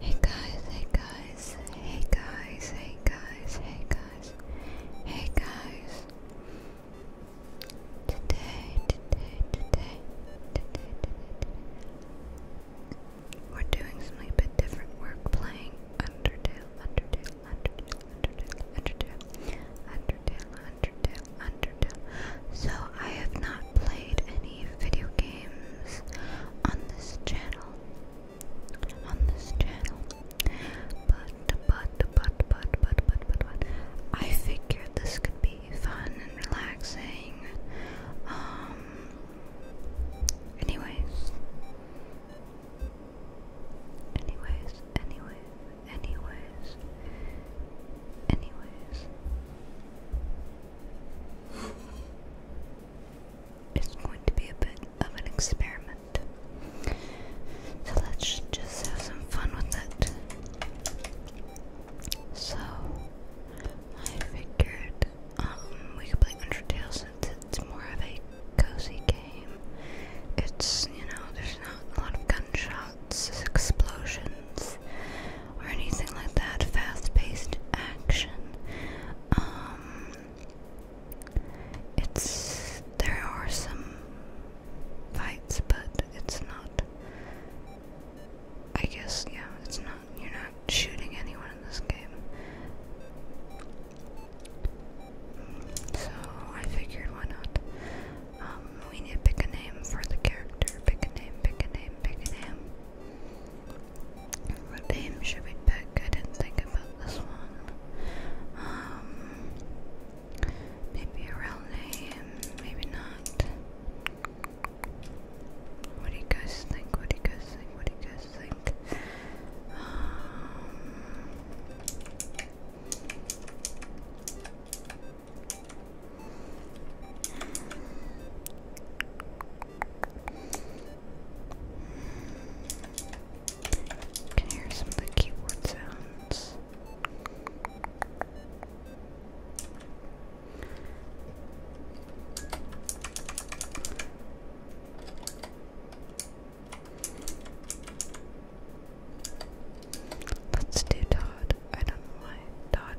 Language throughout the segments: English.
Hey guys, hey guys, hey guys, hey guys, hey guys, hey guys. Today, today, today, today, today, today. We're doing something a bit different. We're playing Undertale, Undertale, Undertale, Undertale, Undertale, Undertale, Undertale, Undertale. So I have not played any many video games on this channel. On this channel. But, but, but, but, but, but, but, but, I figured this could be fun and relaxing. Um, anyways. Anyways, anyways, anyways, anyways. It's going to be a bit of an experiment. So let's just have some fun with it. So I figured um, we could play Undertale since it's more of a cozy game. It's, you know, there's not a lot of gunshots, explosions, or anything like that. Fast-paced action. Um, it's there are some fights, but it's not. I guess yeah, it's not. You're not shooting anyone in this game. So I figured, why not? Um, we need to pick a name for the character. Pick a name. Pick a name. Pick a name. What name should we pick? I didn't think about this one. Um, maybe a real name, maybe not. What do you guys think? What do you guys think? What do you guys think? Um, can hear some of the keyboard sounds. Let's do Todd. I don't know why Todd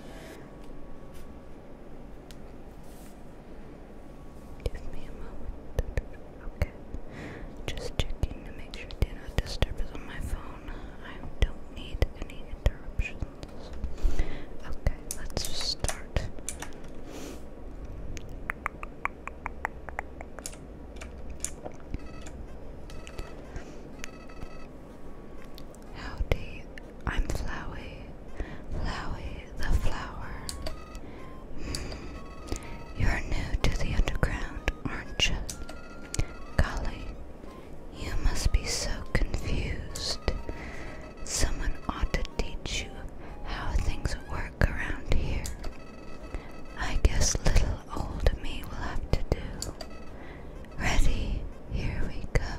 Give me a moment. Okay. Just checking to make sure do not disturb on my phone. I don't need any interruptions. Okay, let's start. Howdy, I'm Flowey, Flowey the flower. Hmm. you're new to the underground, aren't you? Golly, you must be so confused. Someone ought to teach you how things work around here. I guess little old me will have to do. Ready? Here we go.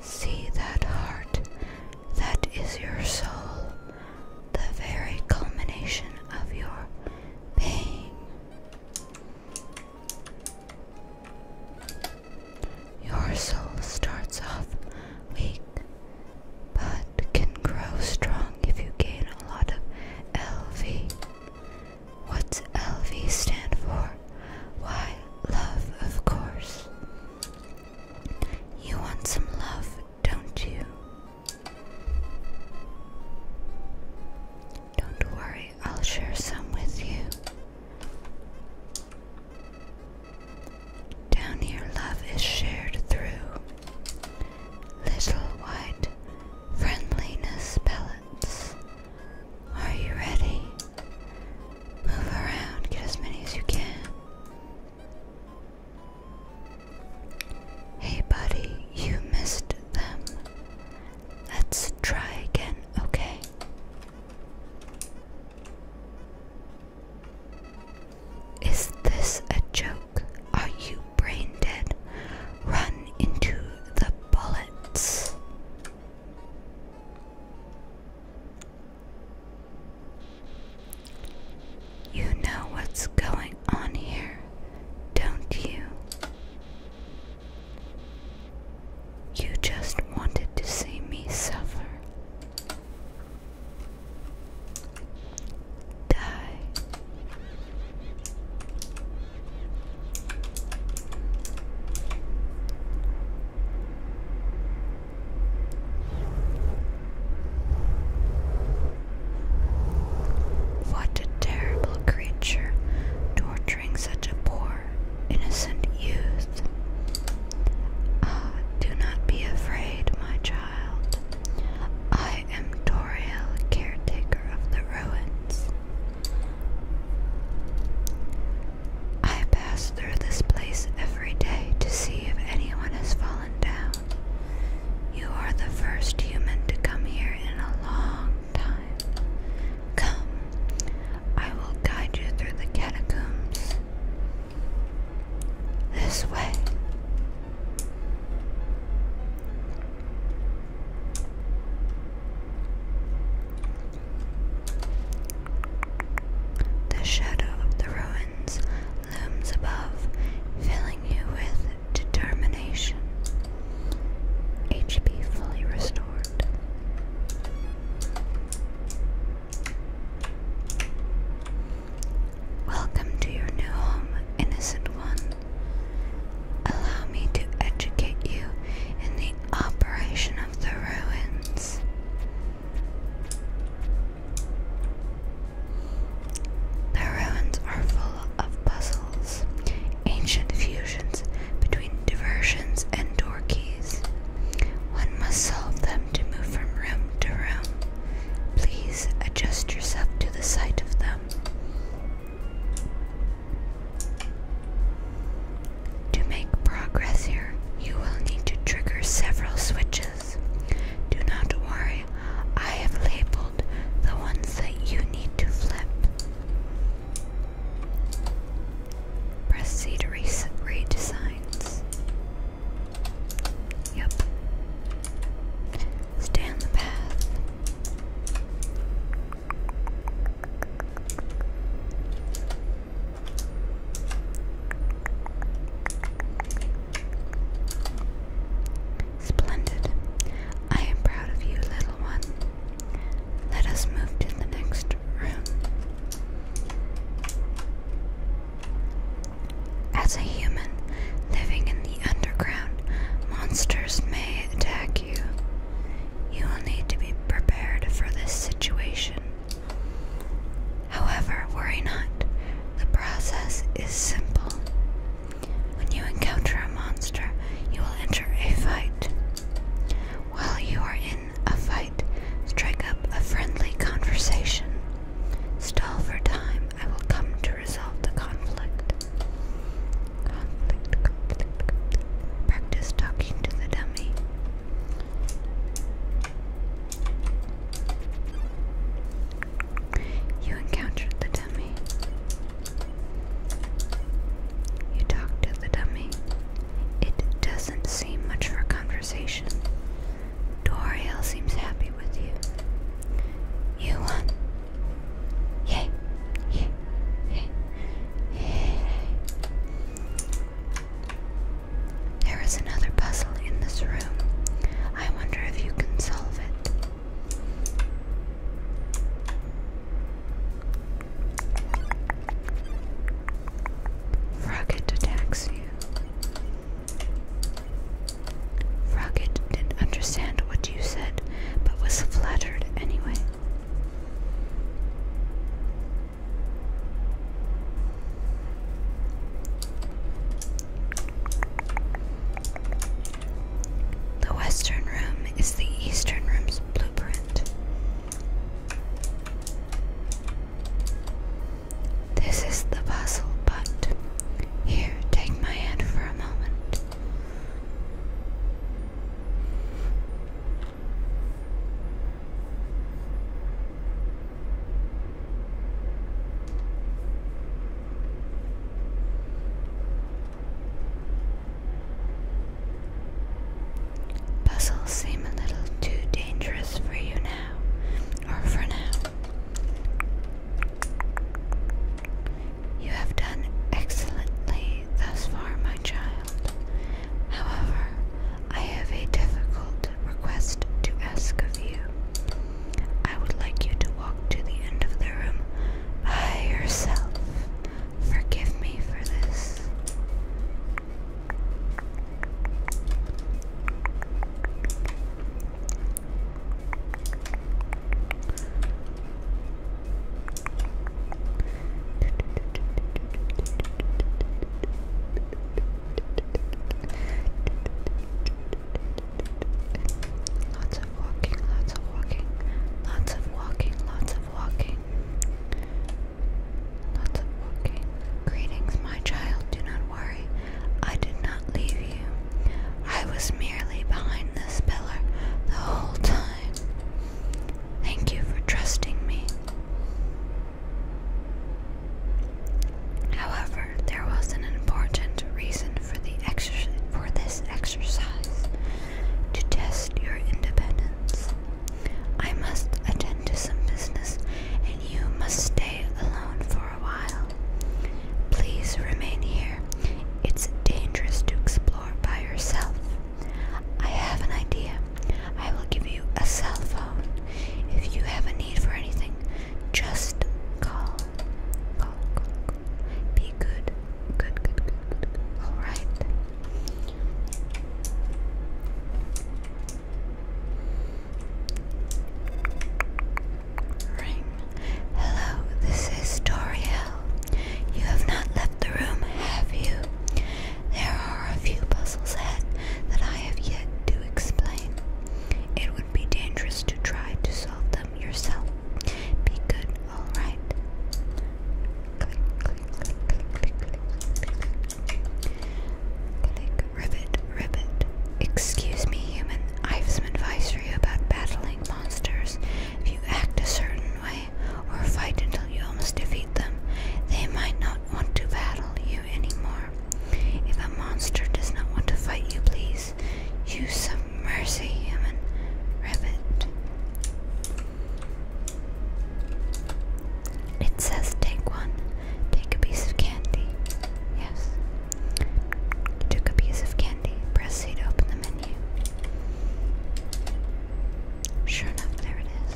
See that heart? That is your soul, the very culmination of your pain. Your soul starts off weak, but can grow strong if you gain a lot of LV. What's LV stand for? Why, love, of course. You want some love, don't you? Don't worry, I'll share some with you. Down here, love is shared through little white friendliness pellets. Are you ready? Move around, get as many as you can. Hey, buddy, you missed them. Let's try again, okay? Is this a joke? are you brain dead? Run into the bullets. You know what's going on here, don't you? You just wanted to see me suffer. What a terrible creature, torturing such a poor, innocent youth. Ah, do not be afraid, my child. I am Toriel, caretaker of the ruins. I pass through this place every day to see if anyone has fallen down. You are the first human to come here in a long time. Come, I will guide you through the catacombs. This way. The shadow of the ruins looms above, filling you with determination. HP fully restored. Welcome to your new home, innocent one. Allow me to educate you in the operation of the ruins. The ruins are full of puzzles, ancient fusions between diversions and door keys. One must solve them to move from room to room. Please adjust yourself to the sight of them. To make progress here, you will need to trigger several switches. Do not worry, I have labeled the ones that you need to flip. Proceed to redesigns. Yep. Stay the path. Splendid. I am proud of you, little one. Let us move to the next room. As a human living in the underground, monsters may attack you. You will need to be prepared for this situation. However, worry not. The process is simple. When you encounter a monster, you will enter a fight. While you are in a fight, strike up a friendly conversation. Stall for time, I will come to resolve the conflict. Practice talking to the dummy. You encountered the dummy. You talked to the dummy. It doesn't seem much for conversation. Doriel seems happy with you. You won. Yay. Yay. Yay. Yay. There is another puzzle in this room. I wonder if you can solve it. Frogget attacks you. Rocket didn't understand what you said, but was flattered anyway. The Western Room is the Eastern Room's blueprint. This is the puzzle, but here, take my hand for a moment. Puzzles seem a little too dangerous for you now, or for now. You have done excellently thus far, my child. However, I have a difficult request to ask of you. I would like you to walk to the end of the room by yourself. Forgive me for this. Lots of walking, lots of walking, lots of walking, lots of walking. Lots of walking. Greetings, my child, do not worry. I did not leave you. I was merely behind this pillar the whole time. Thank you for trusting me. However, there was an important reason for the exer for this exercise to test your independence. I must attend to some business and you must stay alone for a while. Please remain here. It's dangerous to explore by yourself. I have an idea. I will give you a cell phone. If you have a need for anything, just call. Call, Be Good, good, good, good. Alright. Ring. Hello, this is Toriel. You have not left the room, have you? There are a few puzzles ahead that I have yet to explain. It would be dangerous to try to solve them yourself. Be good, alright? Click, click, click, click, click, click, click, click, Ribbit, ribbit. Excuse me, human. I have some advice for you about battling monsters. If you act a certain way or fight until you almost defeat them, they might not want to battle you anymore. If a monster does not want to fight you, please use some mercy, human. Ribbit. It says take one. Take a piece of candy. Yes. Took a piece of candy. Press to open the menu. Sure enough, there it is.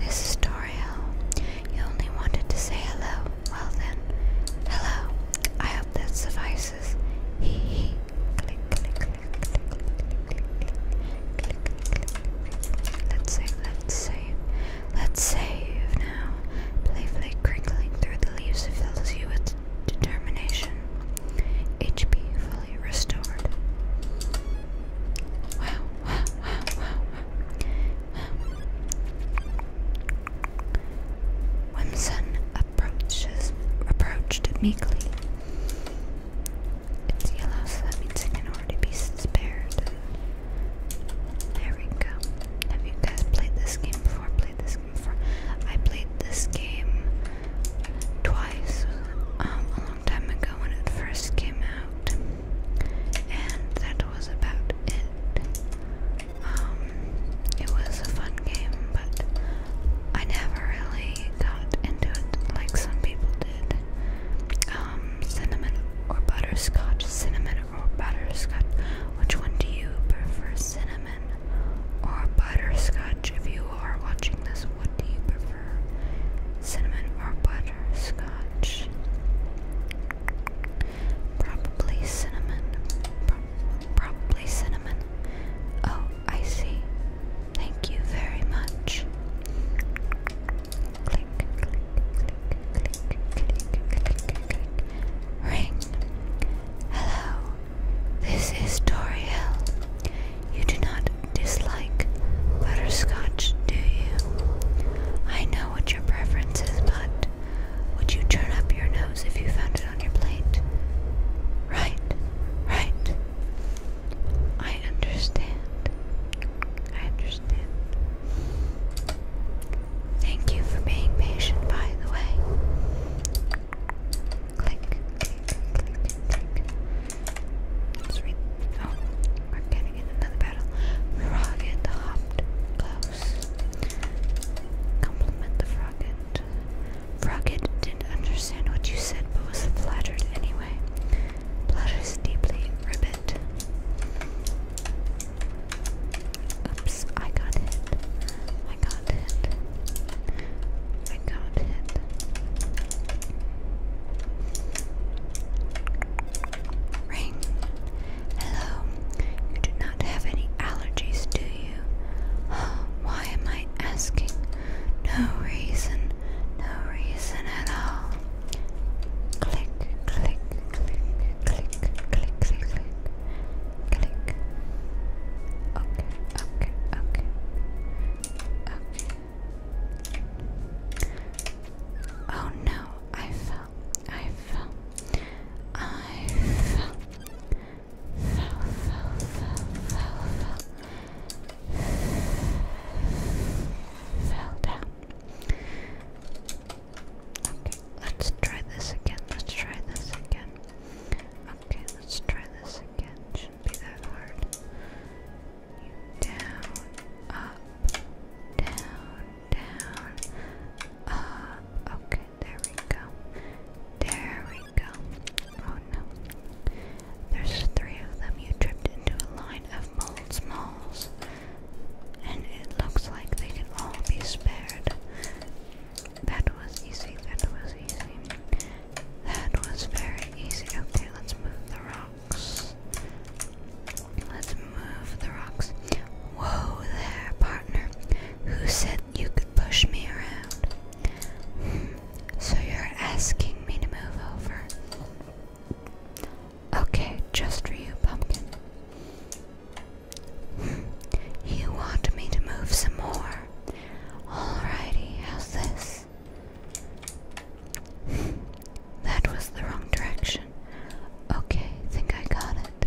This is Toriel. You only wanted to say hello. Well then, hello. I hope that suffices noises. Hee click, click, click, click, click, click, click. Let's save, let's save, let's save now. Playfully crinkling through the leaves fills you with determination. HP fully restored. Wow, wow, wow, wow, wow. wow approached meekly. It's yellow, so that means it can already be spared. There we go. Have you guys played this game before? Played this game before? I played this game twice um, a long time ago when it first came out, and that was about it. Um, it was a fun game, but I never really got into it like some people did. Um, cinnamon or butterscotch? Cinnamon or butterscotch? Which one do you prefer, cinnamon or butterscotch? If you are watching this, what do you prefer, cinnamon or butterscotch? Probably cinnamon. Probably cinnamon. Oh, I see. Thank you very much. Click, click, click, click, click, click, click. Ring. Hello. This is Toriel. You do not dislike butterscotch, do you? I know what your preference is, but would you turn up your nose if you found it on your plate? Right, right. I understand. I understand. Thank you for being patient, by the way. Click, click, click, click. Let's read. Oh, we're getting in another battle. Frogget hopped close. Compliment the frogget. Froggit didn't understand what you said, but was flattered anyway. Flatters deeply, Ribbit. Oops, I got hit. I got hit. I got hit. Ring. Hello. You do have any allergies, do you? why am I asking? No reason, no reason at all. click, click, click, click, click, click, click. Okay, okay, okay. Okay. Oh no, I fell. I've, i fell, fell, fell, fell, fell, fell down. Okay, let's try this again. Let's try this again. Okay, let's try this again. Shouldn't be that hard. Down, up, down, down, up. Okay, there we go. There we go. Oh no. There's three of them. You tripped into a line of mold smalls. And it looks like they can all be spared. That was easy. That was easy. That was very easy. Okay, let's move the rocks. Let's move the rocks. Whoa there, partner. Who said you could push me around? Hmm, so you're asking me to move over? Okay, just for you, pumpkin. Hmm, you want me to move some more? Alrighty, how's this? Hmm, that was the wrong direction. Okay, think I got it.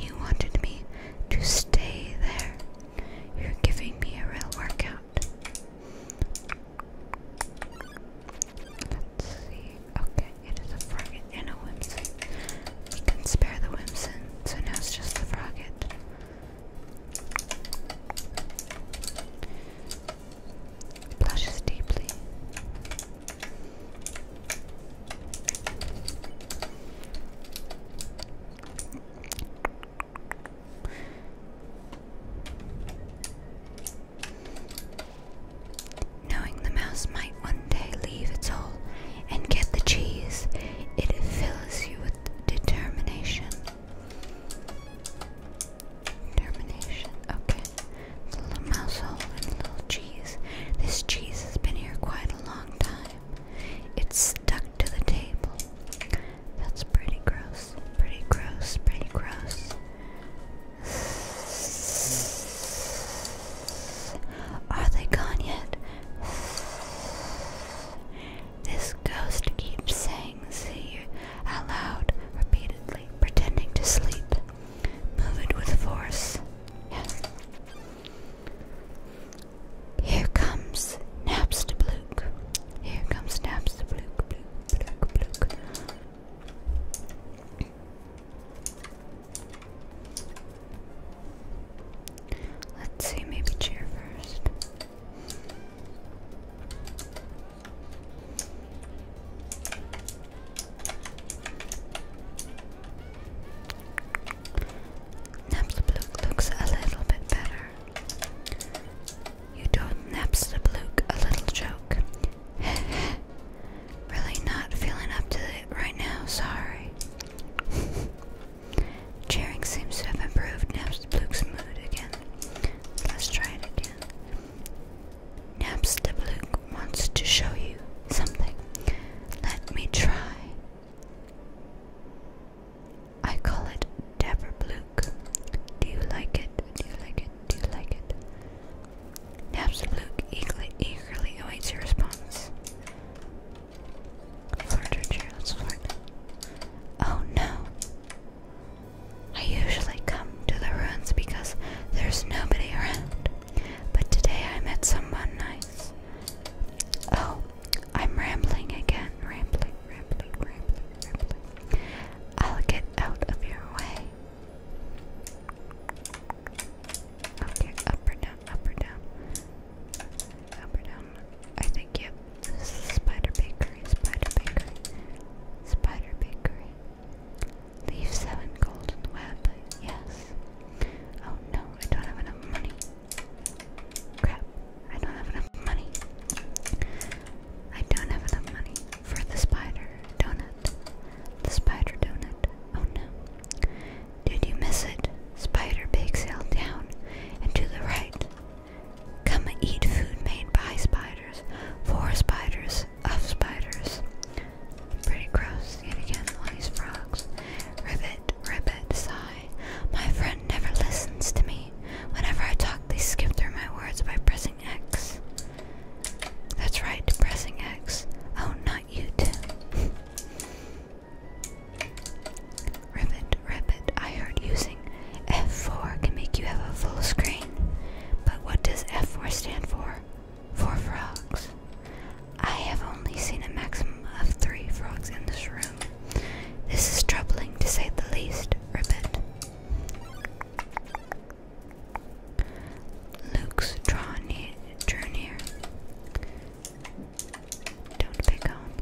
You wanted me to stay there. You're giving me a real workout. Okay, it is a frogget and a whimsy. We can spare the whimsin, so now it's just the frogget. Blushes deeply. Knowing the mouse might one day leave its hole and get the cheese, it fills you with determination. Termination. Okay. little mouse and little cheese. This cheese has been here quite a long time. It's stuck to the table. That's pretty gross. Pretty gross. Pretty gross. Are they gone yet? This ghost keeps saying see out loud, repeatedly, pretending to sleep. Move it with force. Yes. Here comes Naps to Blook. Here comes Naps to Blook, Blook, Blook, Blook. Let's see, maybe cheer first. Napsablook looks a little bit better. You don't napsablook a little joke. really not feeling up to it right now, sorry. Cheering seems to have improved Nap's Bluke's mood again. Let's try it again. Naps the Bluke wants to show you something. Let me try. I call it Dapper Bluke. Do you like it? Do you like it? Do you like it? Naps the Bluke eagerly, awaits your response. Flirt her chair, Oh no! I usually come to the ruins because there's nobody around, but today I met someone nice. Oh, I'm rambling again. Rambling, rambling, rambling, rambling. I'll get out of your way. Okay, up or down, up or down. Up or down? I think, yep. This is Spider Bakery, Spider Bakery, Spider Bakery. Leave seven gold in the web, yes. Oh no, I don't have enough money. Crap, I don't have enough money. I don't have enough money for the spider donut. The spider donut. Oh no. Did you miss it? Spider bake sale down and to the right. Come eat food made by spiders, for spiders, of spiders. Pretty gross, yet again, all these frogs. Ribbit, ribbit, sigh. My friend never listens to me. Whenever I talk, they skip through my words by pressing X. That's right, pressing X. Oh, not you, too. Ribbit, ribbit, I heard using F4 can make you have a full screen. But what does F4 stand for? For frogs. I have only seen a maximum of three frogs in this room. This is troubling to say the least, Ribbit. Luke's draw Don't pick on.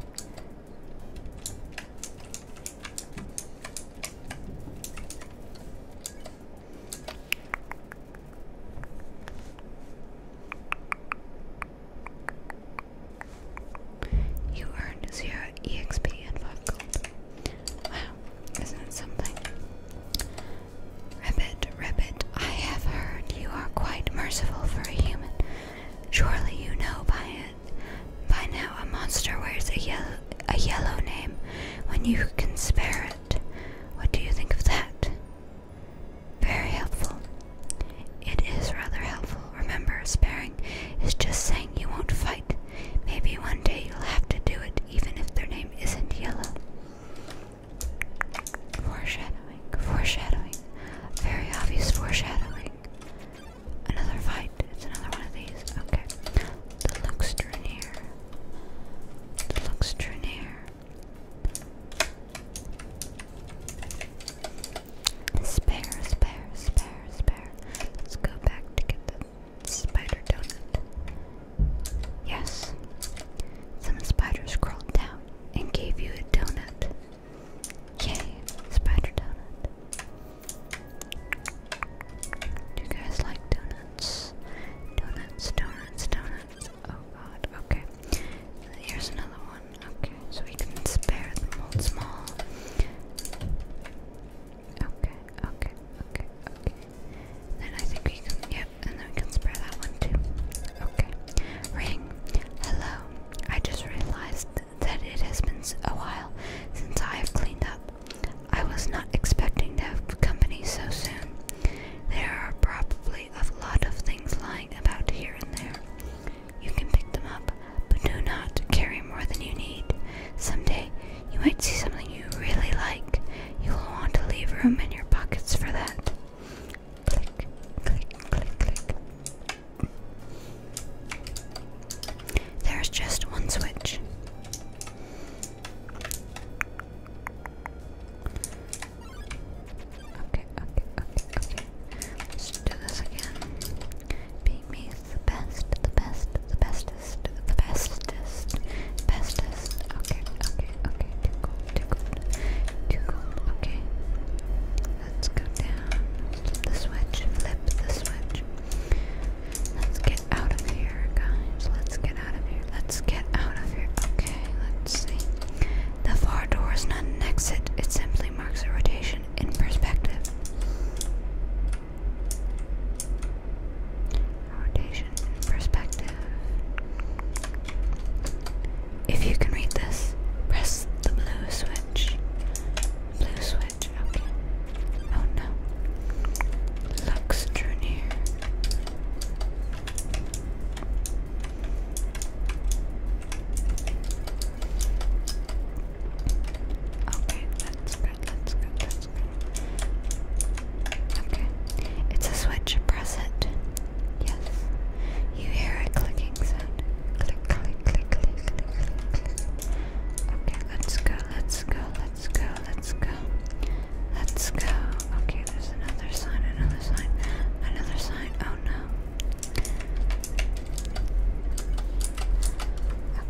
You earned zero EXP and five gold. Wow, isn't something? Rabbit, Rabbit, I have heard you are quite merciful for a human. Surely you know by it. By now, a monster wears a yellow, name when you can spare it. What do you think of that? Very helpful. It is rather helpful. Remember, sparing is just saying you won't fight. Maybe one day you'll have to do it, even if their name isn't yellow. Foreshadowing, foreshadowing, very obvious foreshadowing. Another fight. It's another one of these. Okay. The Luxtranier. The Luxtranier. Spare, spare, spare, spare. Let's go back to get the spider donut. Yes. Some spider scrolled down and gave you a donut. Yay, spider donut. Do you guys like donuts? Donuts, donuts, donuts. Oh god, okay. Here's another one. Okay, so we can spare the mold small. Okay, okay, okay, okay. Then I think we can, yep, and then we can spare that one too. Okay. Ring. Hello. I just realized that it has been a while since I have cleaned up. I was not expecting to have company so soon. There are probably a lot of things lying about here and there. You can pick them up, but do not carry more than you need. Some day you might see something you really like. You will want to leave room in your pockets for that. Click, click, click, click. There's just one switch. Okay, okay, okay, okay. Let's do this again. Beat me the best, the best, the bestest, the bestest, bestest. Okay, okay, okay. Too cold, too cold, too cold. Okay. Let's go down. Flip the switch. Flip the switch. Let's get out of here, guys. Let's get out of here. Let's get out of here. Okay, let's see. The far door is not an exit, it simply marks a rotation in perspective. Rotation in perspective. If you can read this, press the blue switch. Blue switch, okay. Oh no. Lux Okay, that's good, that's good, that's good. Okay. It's a switch, press it. Yes. You hear a clicking sound. Click, click, click, click, click, click, click. Okay, let's go, let's go, let's go, let's go. Let's go. Okay, there's another sign, another sign, another sign. Oh no.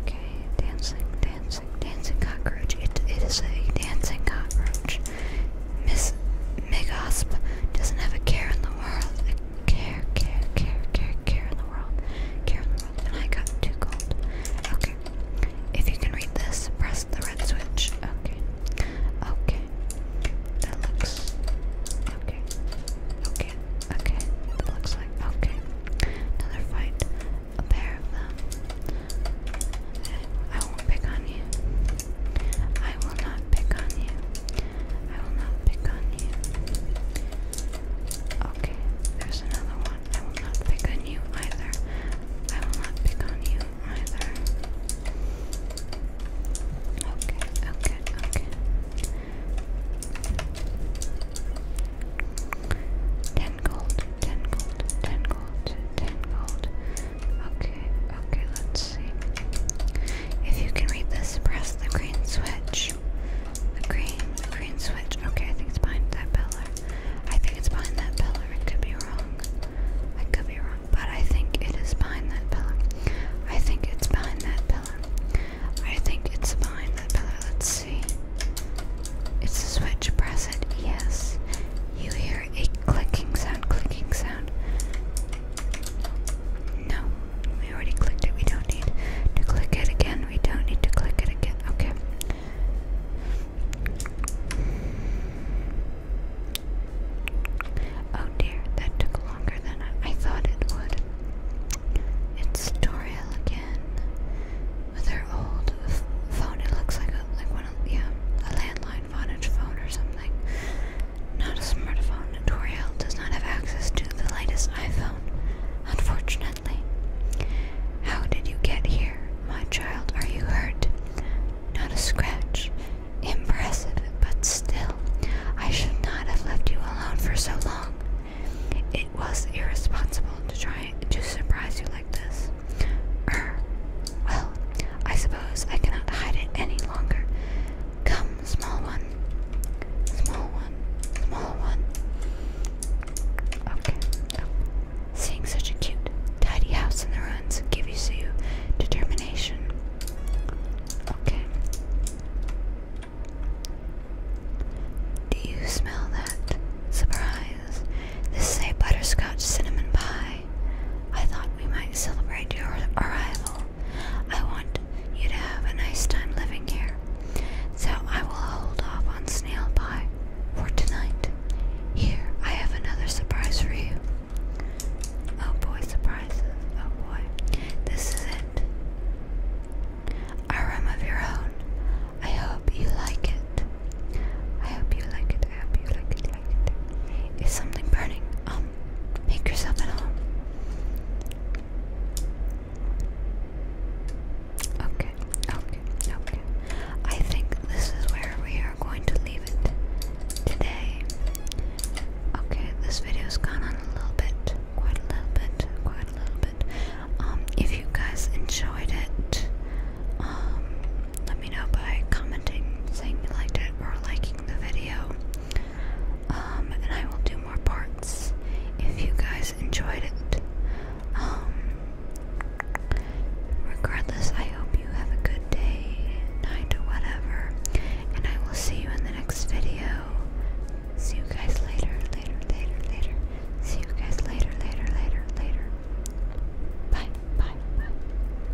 Okay, dancing, dancing, dancing cockroach. It, it is a dancing cockroach. Miss Megasp doesn't have a care in the world care, care, care, care, care in the world, care in the world, and I got too cold. Okay, if you can read this, press the red switch. Okay, okay, that looks okay, okay, okay, that looks like okay. Another fight, a pair of them. I won't pick on you. I will not pick on you. I will not pick on you. Okay, there's another one. I will not pick on you either. I will not pick on you either. Okay, okay, okay. Ten gold, ten gold, ten gold, ten gold, Okay, okay, let's see. If you can read this, press the green switch. The green, green switch. Okay, I think it's behind that pillar. I think it's behind that pillar. I could be wrong. I could be wrong, but I think it is behind that pillar. I think it's behind that pillar. I think it's behind that pillar. Let's see. It's a switch. Press it. Yes. You hear a clicking sound. Clicking sound. No, we already clicked it. We don't need to click it again. We don't need to click it again. Okay. Oh dear, that took longer than I, thought it would. It's Toriel again with her old phone. It looks like a like one of yeah a landline online Vonage phone or something. Not a smartphone. Toriel does not have access to the latest iPhone, unfortunately. How did you get here, my child? Are you hurt? Not a scratch. Impressive, but still, I should not have left you alone for so long. It was irresponsible to try to surprise you like this. Er, well, I suppose I cannot hide it any longer. Come, small one. Small one. Small one. Okay. Seeing such a cute, tidy house in the ruins gives you determination. Okay. Do you smell that? Surprise. This is a butterscotch cinnamon pie. I thought we might celebrate your arrival. I want you to have a nice time living here, so I will hold off on snail pie for tonight. Here, I have another surprise for you. Oh boy, surprise! Oh boy. This is it. A room of your own. I hope you like it. I hope you like it. I hope you like it. Like it. Is something burning? Make yourself at home. Okay, okay, okay. I think this is where we are going to leave it today. Okay, this video's gone on a little bit, quite a little bit, quite a little bit. Um, if you guys enjoyed it, um, let me know by commenting, saying you liked it, or liking the video. Um, and I will do more parts if you guys enjoyed it. Um, regardless, I hope you have a good day, night, or whatever. And I will see you in the next video. See you guys later, later, later, later. See you guys later, later, later, later. Bye, bye, bye.